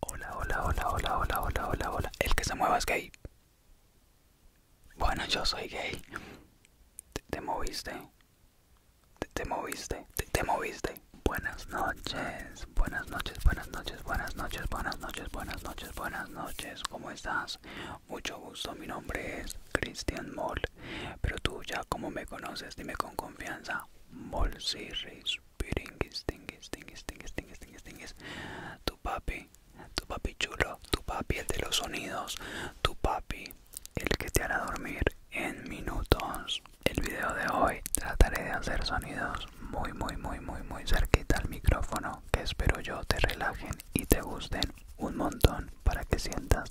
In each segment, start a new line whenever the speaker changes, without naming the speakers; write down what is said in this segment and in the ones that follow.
Hola, hola, hola, hola, hola, hola, hola, hola. El que se mueva es gay. Bueno, yo soy gay. Te, te moviste. Te, moviste. Te, moviste. Buenas noches. Buenas noches, buenas noches, buenas noches, buenas noches, buenas noches, buenas noches. ¿Cómo estás? Mucho gusto. Mi nombre es Christian Moll. Pero tú ya como me conoces, dime con confianza. Tu papi, tu papi chulo, tu papi el de los sonidos, tu papi el que te hará dormir en minutos. El video de hoy trataré de hacer sonidos muy, muy, muy, muy, muy cerquita al micrófono que espero yo te relajen y te gusten un montón para que sientas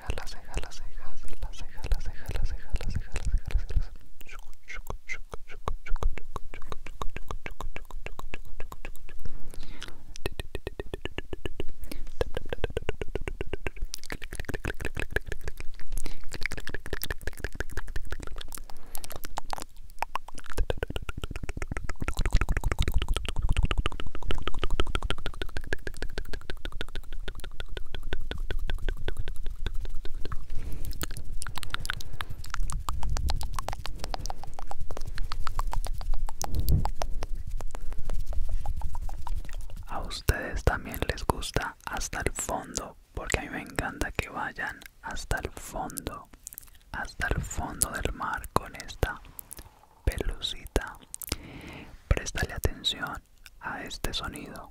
las cejas, las cejas, las cejas a ustedes también les gusta hasta el fondo, porque a mí me encanta que vayan hasta el fondo, hasta el fondo del mar con esta pelucita. prestale atención a este sonido.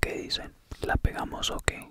¿Qué dicen? ¿La pegamos o qué?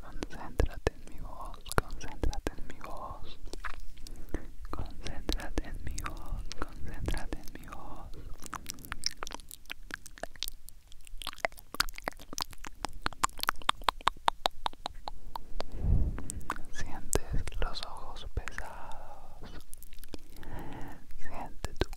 Concéntrate en mi voz, concéntrate en mi voz. Concéntrate en mi voz, concéntrate en mi voz. Sientes los ojos pesados. Siente tu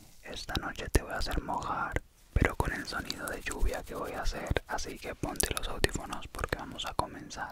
Esta noche te voy a hacer mojar, pero con el sonido de lluvia que voy a hacer, así que ponte los audífonos porque vamos a comenzar.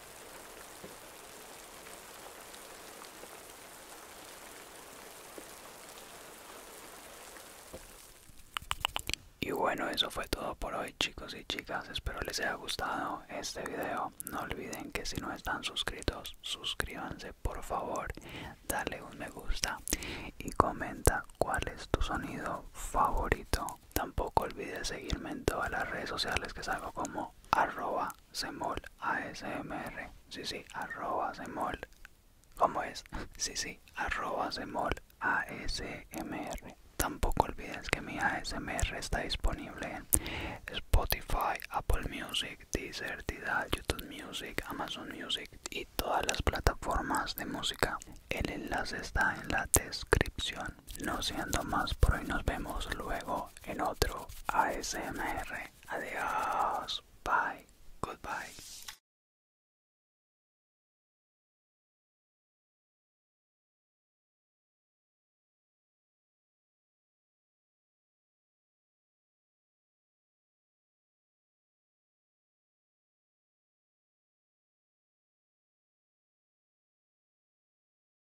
Y bueno, eso fue todo por hoy chicos y chicas, espero les haya gustado este video. No olviden que si no están suscritos, suscríbanse por favor, dale un me gusta y comenta cuál es tu sonido favorito. Tampoco olvides seguirme en todas las redes sociales que salgo como arroba Sí, sí, arroba semol. ¿Cómo es? Sí, sí, arroba semol Tampoco olvides que mi ASMR está disponible en Spotify, Apple Music, Deezer, YouTube Music, Amazon Music y todas las plataformas de música. El enlace está en la descripción. No siendo más por hoy, nos vemos luego en otro ASMR. Adiós. Bye. Goodbye.